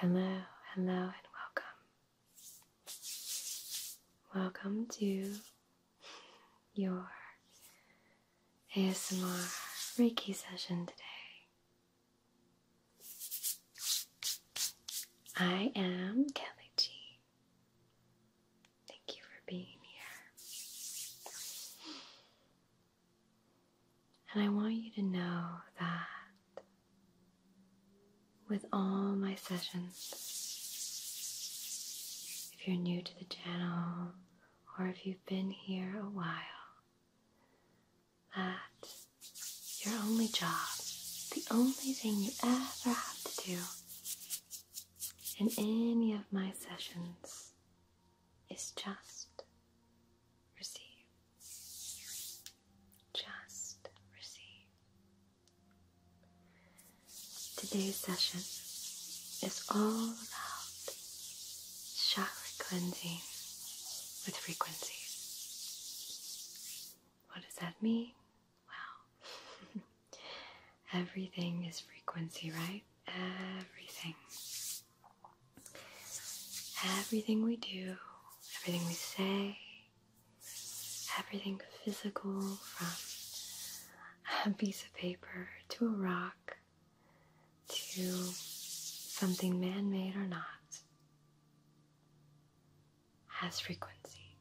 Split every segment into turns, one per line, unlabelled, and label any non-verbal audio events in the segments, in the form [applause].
Hello, hello, and welcome. Welcome to your ASMR Reiki session today. I am Kelly G, Thank you for being here. And I want you to know that with all my sessions, if you're new to the channel or if you've been here a while, that your only job, the only thing you ever have to do, in any of my sessions is just receive. Just receive. Today's session is all about shock cleansing with frequencies. What does that mean? Well, [laughs] Everything is frequency, right? Everything. Everything we do, everything we say, everything physical from a piece of paper to a rock to something man made or not has frequency.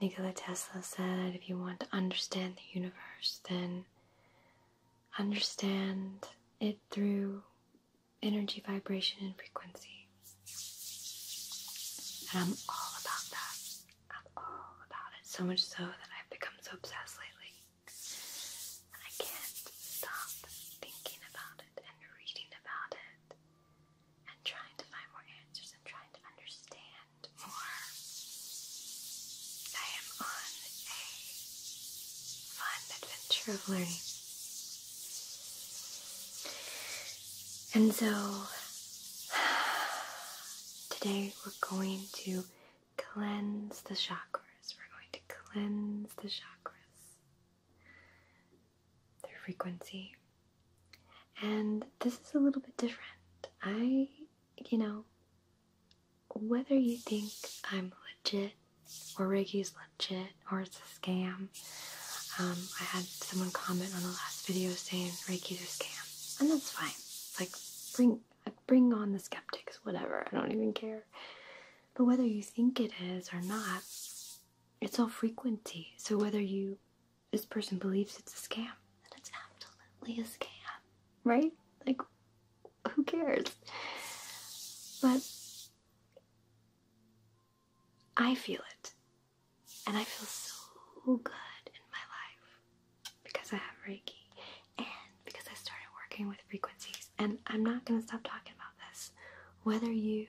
Nikola Tesla said if you want to understand the universe, then understand it through energy, vibration, and frequency. And I'm all about that. I'm all about it. So much so that I've become so obsessed lately. I can't stop thinking about it and reading about it and trying to find more answers and trying to understand more. I am on a fun adventure of learning. And so [sighs] today we're going to cleanse the chakras. We're going to cleanse the chakras their frequency. And this is a little bit different. I, you know, whether you think I'm legit or Ricky's legit or it's a scam, um, I had someone comment on the last video saying Ricky's a scam, and that's fine. like bring bring on the skeptics, whatever. I don't even care. But whether you think it is or not, it's all frequency. So whether you this person believes it's a scam, and it's absolutely a scam, right? Like, who cares? But I feel it, and I feel so good in my life because I have Reiki and because I started working with frequencies. And I'm not going to stop talking about this. Whether you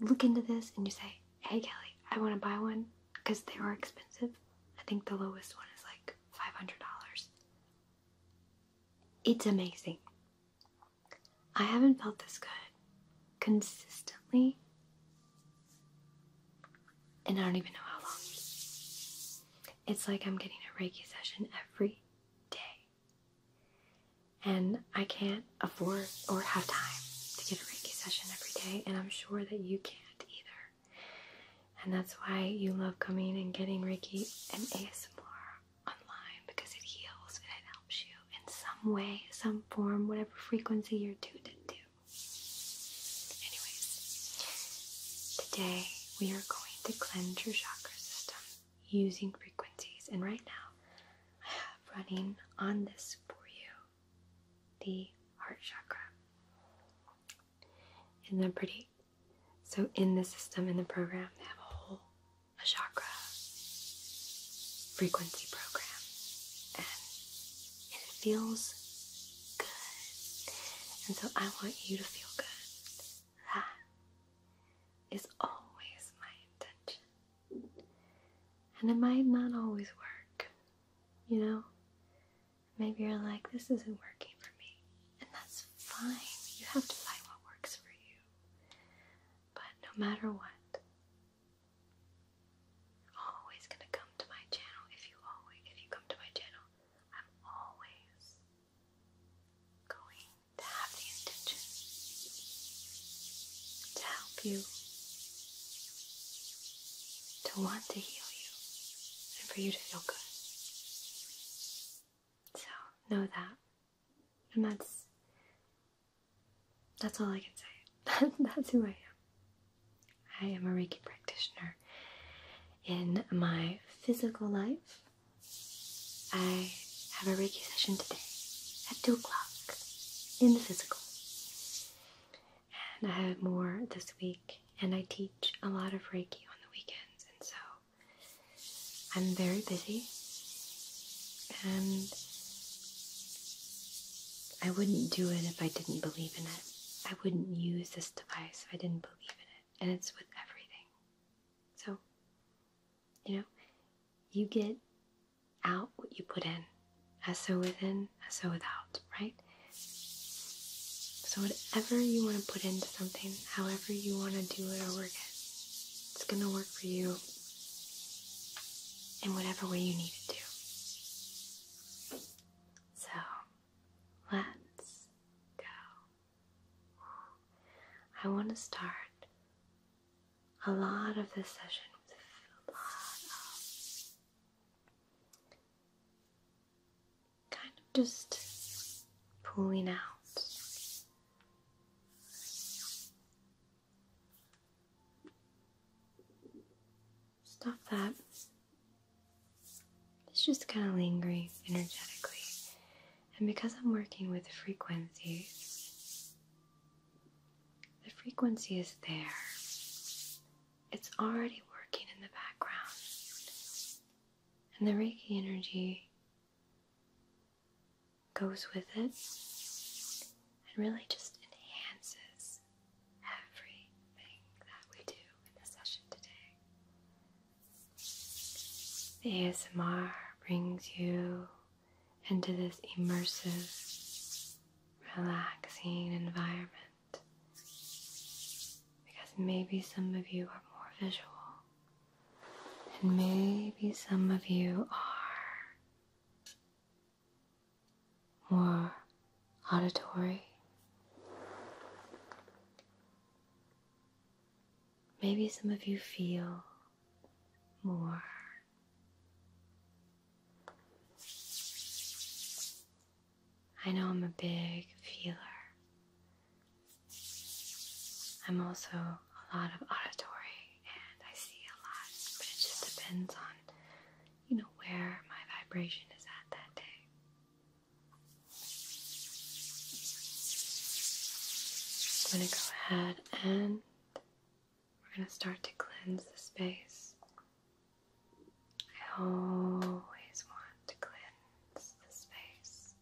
look into this and you say, Hey, Kelly, I want to buy one, because they were expensive. I think the lowest one is like $500. It's amazing. I haven't felt this good consistently and I don't even know how long. It's like I'm getting a Reiki session every day. And I can't can't afford or have time to get a Reiki session every day, and I'm sure that you can't either. And that's why you love coming and getting Reiki and ASMR online because it heals and it helps you in some way, some form, whatever frequency you're tuned into. Anyways, today we are going to cleanse your chakra system using frequencies, and right now I have running on this for you the heart chakra. and they're pretty? So in the system, in the program, they have a whole a chakra frequency program. And it feels good. And so I want you to feel good. That is always my intention. And it might not always work, you know? Maybe you're like, this isn't working for me. And that's fine. You have to find what works for you. But no matter what, I'm always gonna come to my channel. If you always if you come to my channel, I'm always going to have the intention to help you to want to heal you and for you to feel good. So know that. And that's that's all I can say. [laughs] that's who I am. I am a Reiki practitioner. In my physical life, I have a Reiki session today at 2 o'clock in the physical and I have more this week. And I teach a lot of Reiki on the weekends, and so I'm very busy. And I wouldn't do it if I didn't believe in it. I wouldn't use this device if I didn't believe in it. And it's with everything. So, you know, you get out what you put in, as so within, as so without, right? So, whatever you want to put into something, however you want to do it or work it, it's going to work for you in whatever way you need it to. So, let's go. I want to start a lot of this session with a lot of kind of just pulling out. Stop that. It's just kind of lingering energetically. And because I'm working with frequencies, the frequency is there, it's already working in the background, and the Reiki energy goes with it and really just enhances everything that we do in the session today. ASMR brings you into this immersive, relaxing environment. Because maybe some of you are more visual, and maybe some of you are more auditory. Maybe some of you feel more. I know I'm a big feeler. I'm also a lot of auditory and I see a lot, but it just depends on, you know, where my vibration is at that day. I'm going to go ahead and we're going to start to cleanse the space. I always want to cleanse the space.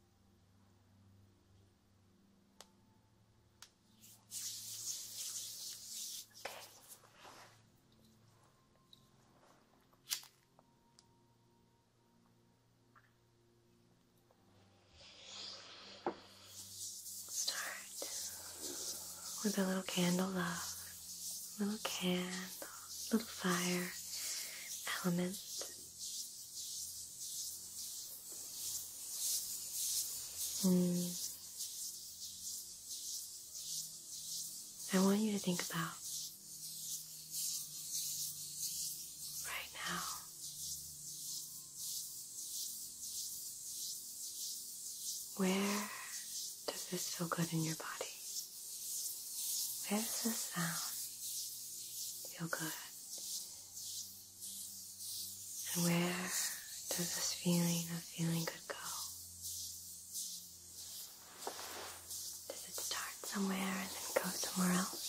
Okay. Start with a little candle love, little candle, little fire element. Mm. I want you to think about right now where does this feel good in your body? Where does this sound feel good? And where does this feeling of feeling good go? Does it start somewhere and then go somewhere else?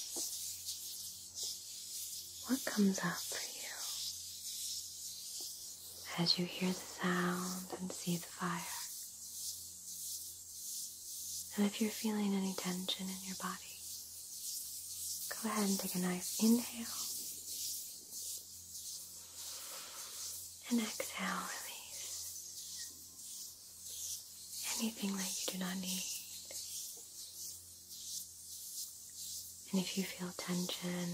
What comes up for you? as you hear the sound and see the fire. And if you're feeling any tension in your body, go ahead and take a nice inhale. And exhale, release anything that you do not need. And if you feel tension,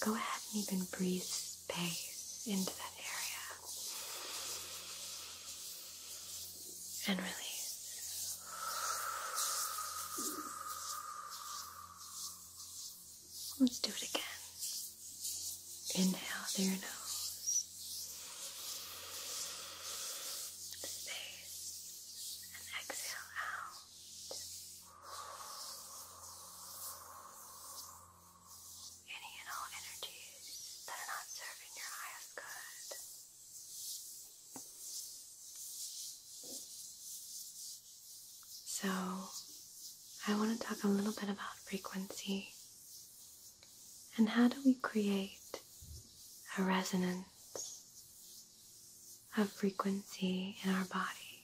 go ahead and even breathe space into that area and release. Let's do it again. Inhale through your nose. Space and exhale out. Any and all energies that are not serving your highest good. So, I want to talk a little bit about frequency and how do we create a resonance of frequency in our body.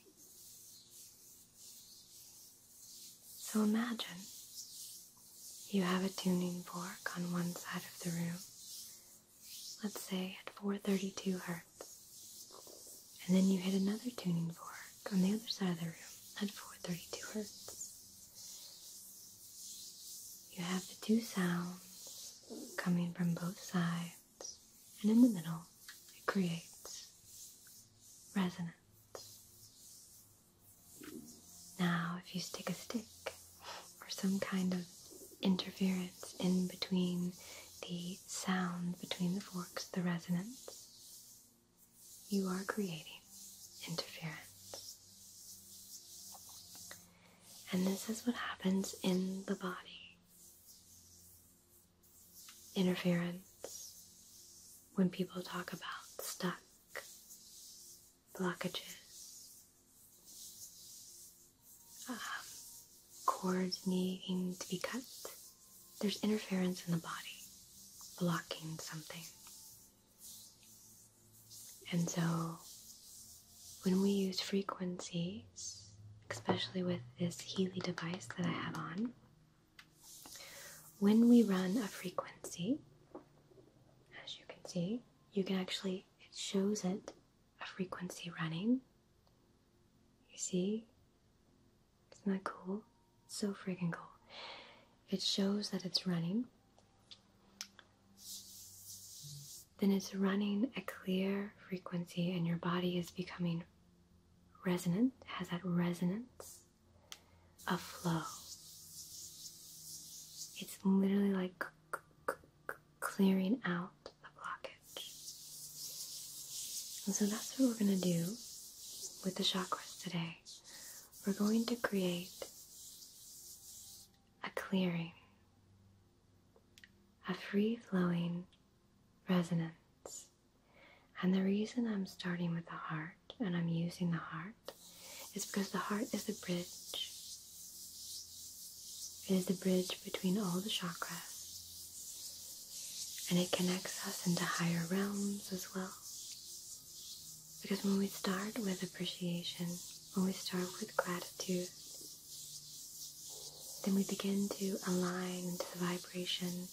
So imagine you have a tuning fork on one side of the room, let's say at 432 hertz, and then you hit another tuning fork on the other side of the room at 432 hertz. You have the two sounds coming from both sides and in the middle, it creates resonance. Now, if you stick a stick or some kind of interference in between the sound between the forks, the resonance, you are creating interference. And this is what happens in the body interference when people talk about stuck blockages, um, cords needing to be cut. There's interference in the body blocking something. And so when we use frequencies especially with this Healy device that I have on, when we run a frequency, as you can see, you can actually, it shows it a frequency running. You see? Isn't that cool? It's so freaking cool. It shows that it's running. Then it's running a clear frequency, and your body is becoming resonant, has that resonance a flow. It's literally like clearing out the blockage. And so that's what we're going to do with the chakras today. We're going to create a clearing, a free flowing resonance and the reason I'm starting with the heart and I'm using the heart is because the heart is the bridge. It is the bridge between all the chakras. And it connects us into higher realms as well. Because when we start with appreciation, when we start with gratitude, then we begin to align into the vibration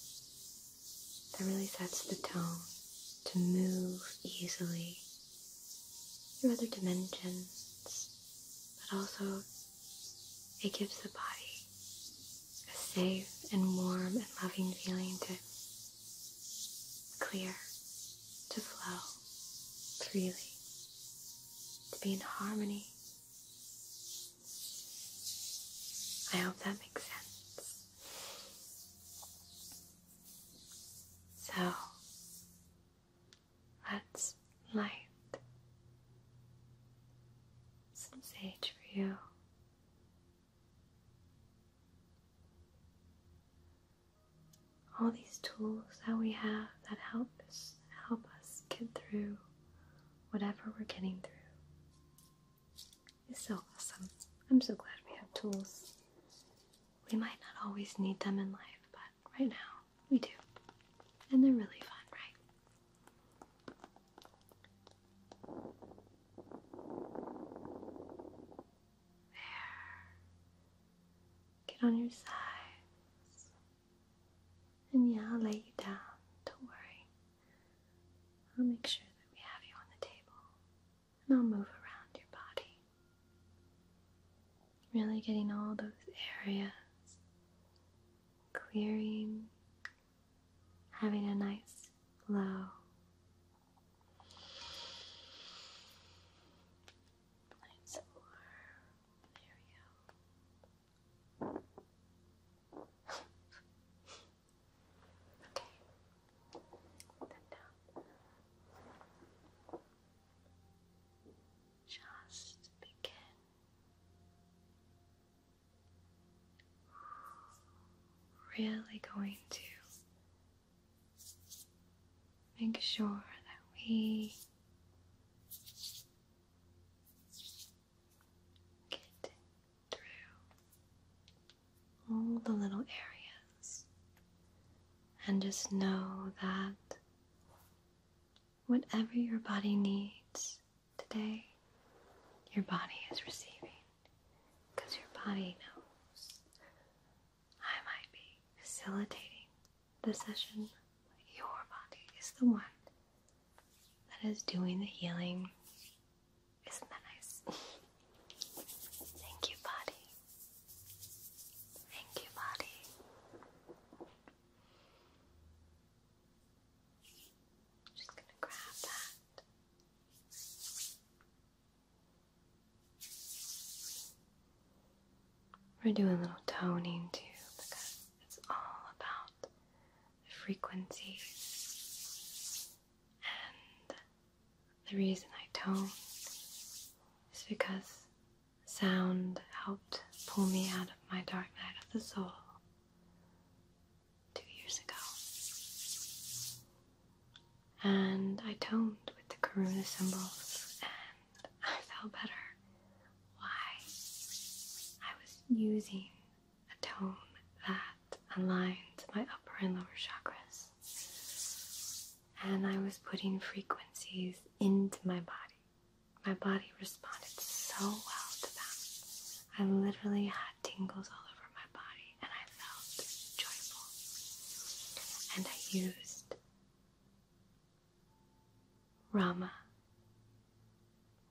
that really sets the tone to move easily through other dimensions, but also it gives the body a safe and warm and loving feeling to clear, to flow freely, to be in harmony I hope that makes sense. So let's light some sage for you. All these tools that we have that help help us get through whatever we're getting through is so awesome. I'm so glad we have tools. We might not always need them in life, but right now we do. And they're really fun, right? There. Get on your sides. And yeah, I'll lay you down. Don't worry. I'll make sure that we have you on the table. And I'll move around your body. Really getting all those areas clearing, having a nice flow. Nice floor. There we go. Okay. Then down. Just begin. Really going to make sure that we get through all the little areas and just know that whatever your body needs today, your body is receiving because your body knows. I might be facilitating the session, but your body is the one that is doing the healing. Isn't that nice? Thank you, body. Thank you, body. Just going to grab that. We're doing a little toning too because it's all about frequencies. And the reason I toned is because sound helped pull me out of my dark night of the soul two years ago. And I toned with the karuna symbols and I felt better. Why? I was using a tone that aligned my upper and lower chakras. And I was putting frequencies into my body. My body responded so well to that. I literally had tingles all over my body and I felt joyful. And I used Rama,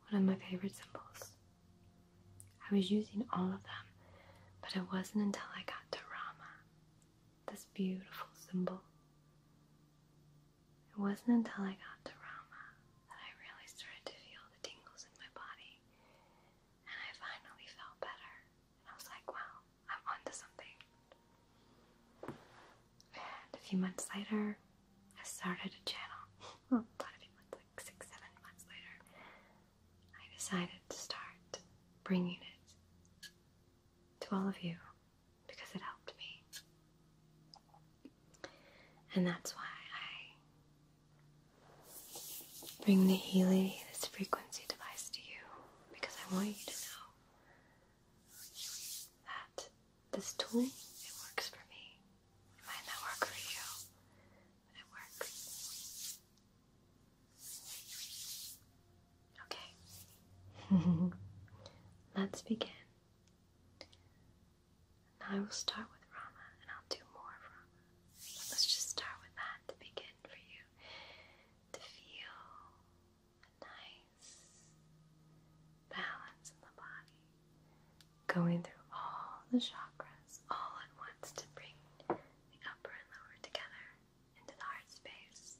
one of my favorite symbols. I was using all of them, but it wasn't until I got to Rama, this beautiful symbol. It wasn't until I got to Rama that I really started to feel the tingles in my body, and I finally felt better. And I was like, wow, I'm onto something. And a few months later, I started a channel. Hmm. Well, a lot of like six, seven months later, I decided to start bringing it to all of you because it helped me. And that's why I bring the Healy, this frequency device to you, because I want you to know that this tool, it works for me. Might not work for you, but it works. Okay. [laughs] Let's begin. Now I will start with Rama and I'll do more of Rama. Let's just start with that to begin for you to feel a nice balance in the body going through all the chakras all at once to bring the upper and lower together into the heart
space.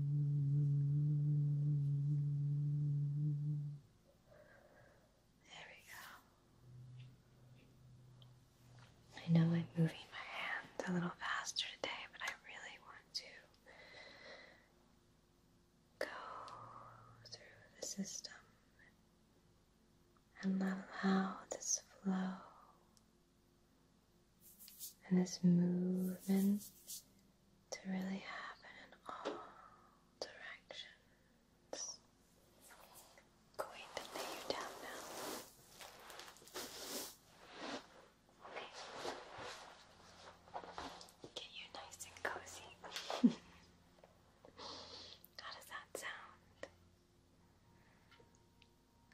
There we go. I know I'm moving my hands a little
faster today, but I really want to go through the system and allow this flow and this movement to really happen in all directions. going to lay you down now. Okay. Get you nice and cozy. [laughs] How does that sound?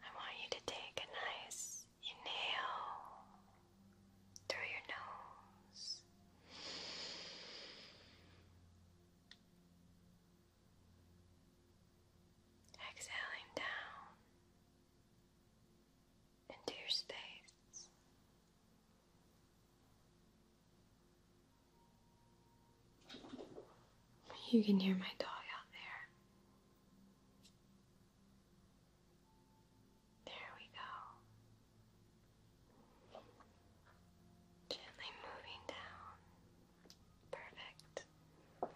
I want you to take a nice inhale through your nose. Exhaling down into your space. You can hear my dog out there. There we go. Gently moving down. Perfect. Okay.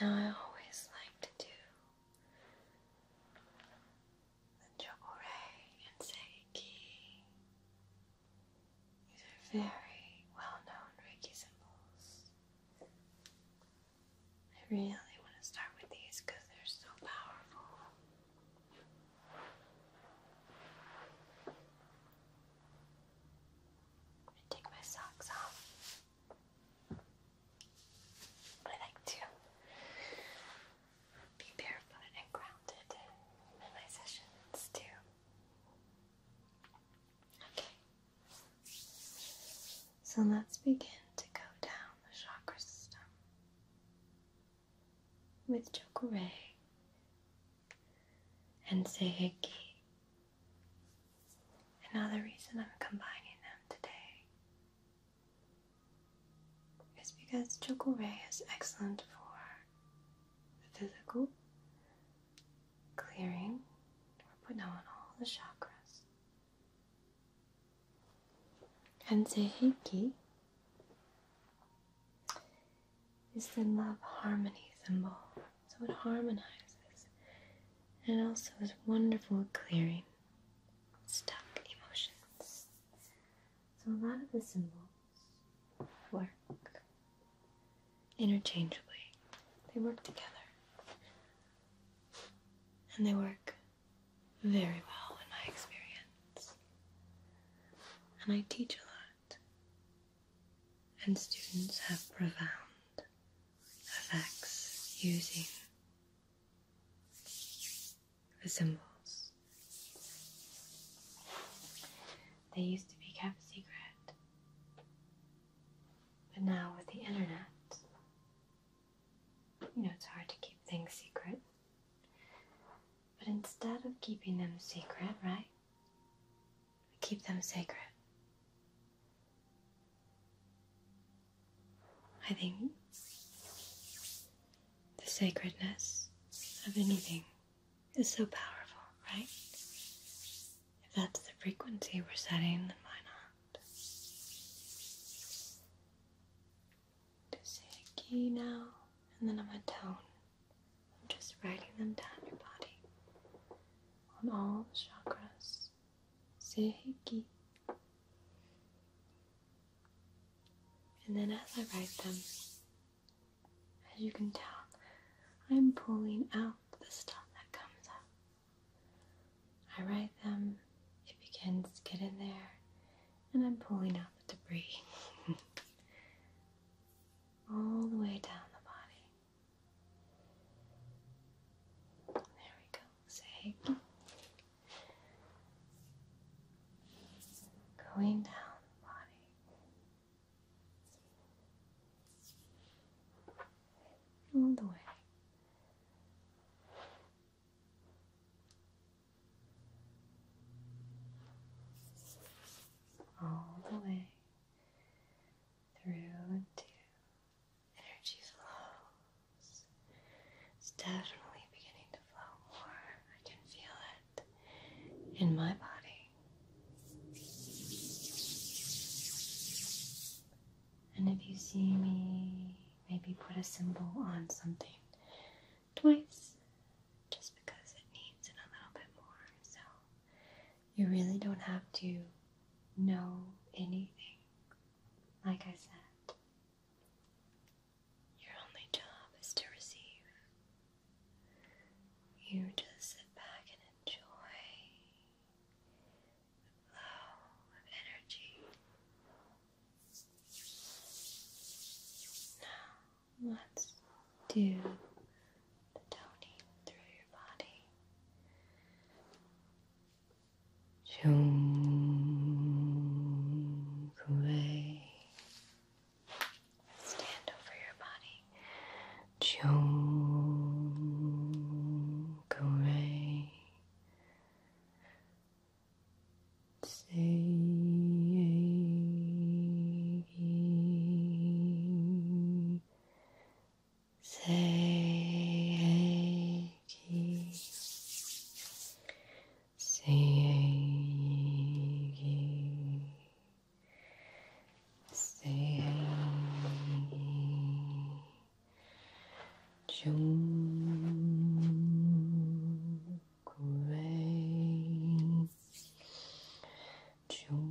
Now, I always like to do and Jokore and Seiki. These are very well known Reiki symbols. I really want to start with these because they're so powerful. I'm going to take my socks off. I like to be barefoot and grounded in my sessions too. Okay. So let's begin to go down the chakra system with Chocoré and Seheki. Another reason I'm combining them today is because Choco Ray is excellent for the physical, clearing, or putting on all the chakras. And Seiki is the love harmony symbol, so it harmonizes and also is wonderful clearing stuck emotions. So a lot of the symbols work interchangeably, they work together. And they work very well in my experience. And I teach a lot. And students have profound effects using the symbols. They used to be kept secret, but now with the internet, you know, it's hard to keep things secret. But instead of keeping them secret, right, keep them sacred. I think the sacredness of anything is so powerful, right? If that's the frequency we're setting, then why not? Just say a key now, and then I'm a tone. I'm just writing them down your body on all the chakras and then as I write them, as you can tell, I'm pulling out the stuff that comes up. I write them, it begins to get in there, and I'm pulling out the debris [laughs] all the way down the body. There we go sake. Going down the body. All the way.
All the way
through to energy flows. It's definitely beginning to flow more. I can feel it in my body. And if you see me, maybe put a symbol on something twice just because it needs it a little bit more. So you really don't have to know anything. Like I said, your only job is to receive. You just sit back and enjoy the flow of energy. Now, let's
do the toning through your body. Chung Kuei. Stand over your body. Chung Kuei. Say, say, you Seiki Seiki Jung Kuei Jung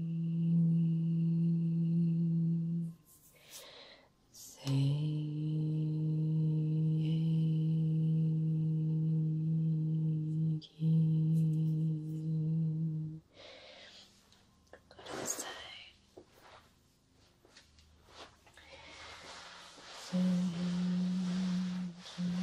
Thank you. Go to the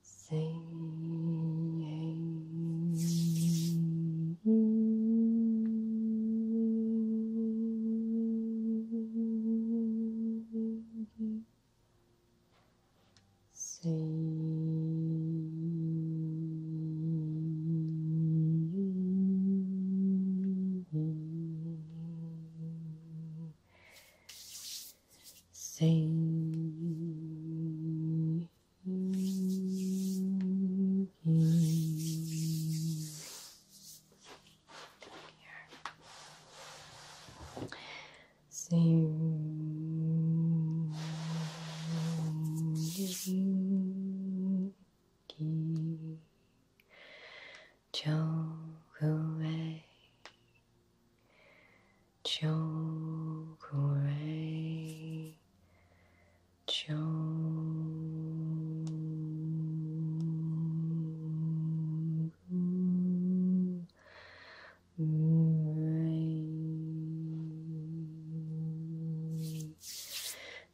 Singing Singing Singing. Here. Chokurei, Chokurei, Chokurei,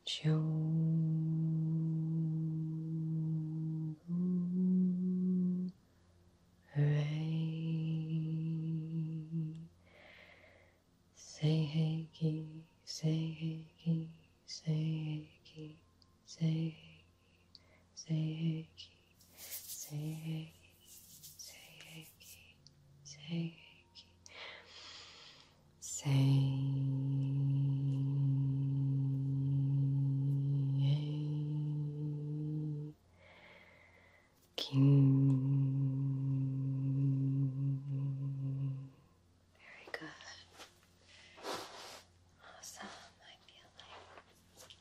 Chokurei. Om. Hooray. Say hey ki, say hey ki, say hey ki, say hey ki, say hey ki, say hey ki, say hey ki, say hey ki, say king, Very good. Awesome. I feel like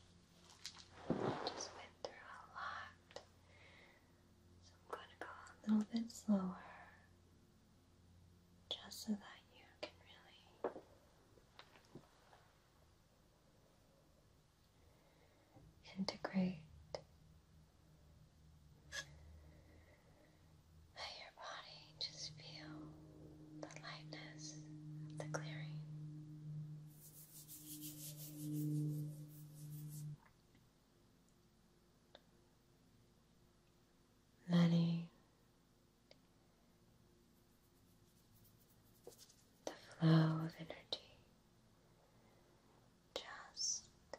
just went
through a lot. So I'm going to go a little bit slower just so that you can really Integrate let your body just feel
the lightness the clearing. Letting the flow of energy just do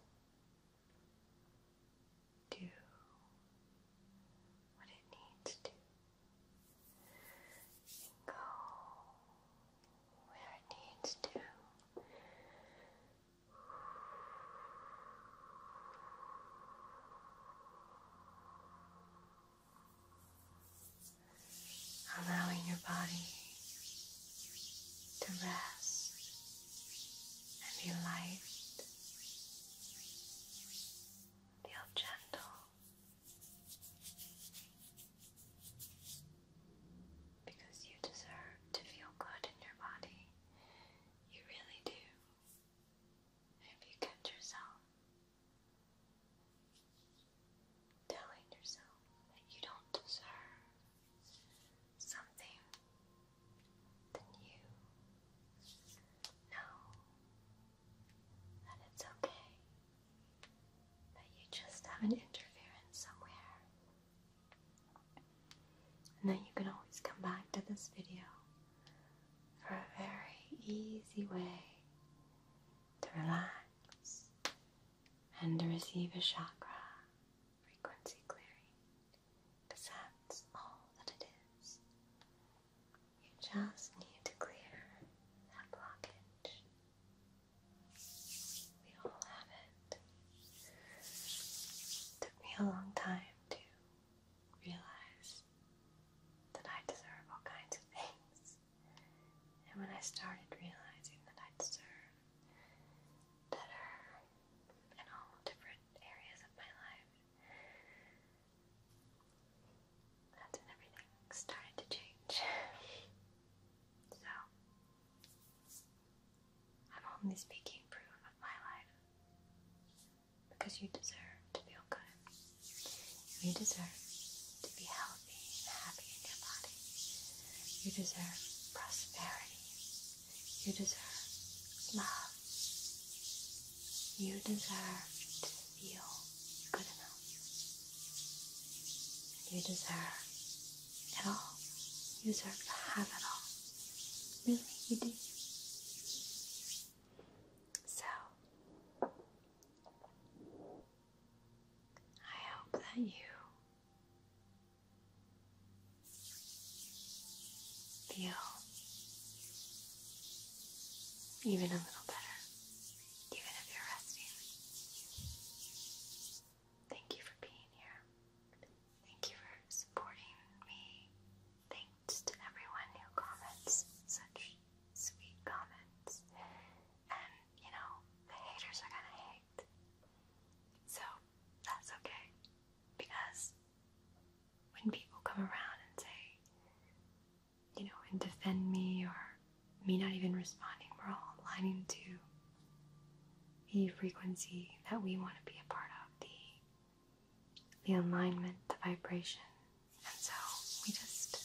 what it needs to go where it needs to allowing your body to rest
and be light, feel gentle because you deserve to feel good in your body. You really do. If you get yourself telling yourself that you don't deserve something than you know that it's okay that you just have an interference somewhere and that you can always come back to this video for a very easy way to relax and to receive a chakra frequency clearing to sense all that it is. You just need to clear that blockage. We all have it. Took me a long time to realize that I deserve all kinds
of things.
And when I started realizing that I deserve better in all different areas of my life, that's when everything started to change. [laughs] so, I'm only speaking proof of my life because you deserve to feel good. You deserve to be healthy and happy in your body. You deserve prosperity. You deserve love. You deserve to feel good enough. You deserve it all. You deserve to have it all. Really, you do. So, I hope that you feel even a little better, even if you're resting. Thank you for being here. Thank you for supporting me. Thank to everyone who comments such sweet comments. And, you know, the haters are gonna hate. So, that's okay. Because when people come around and say, you know, and defend me or me not even responding, we're all aligning to the frequency that we want to be a part of, the the alignment, the vibration. And so we just,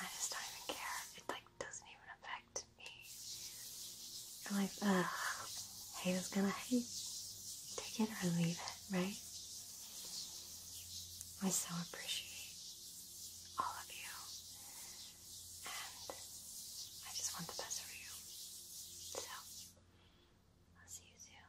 I just don't even care. It like doesn't even affect me. I'm like, ugh, hate is gonna hate. Take it or leave it, right? I so appreciate all of you.
And I just want the best for you. So,
I'll see you soon.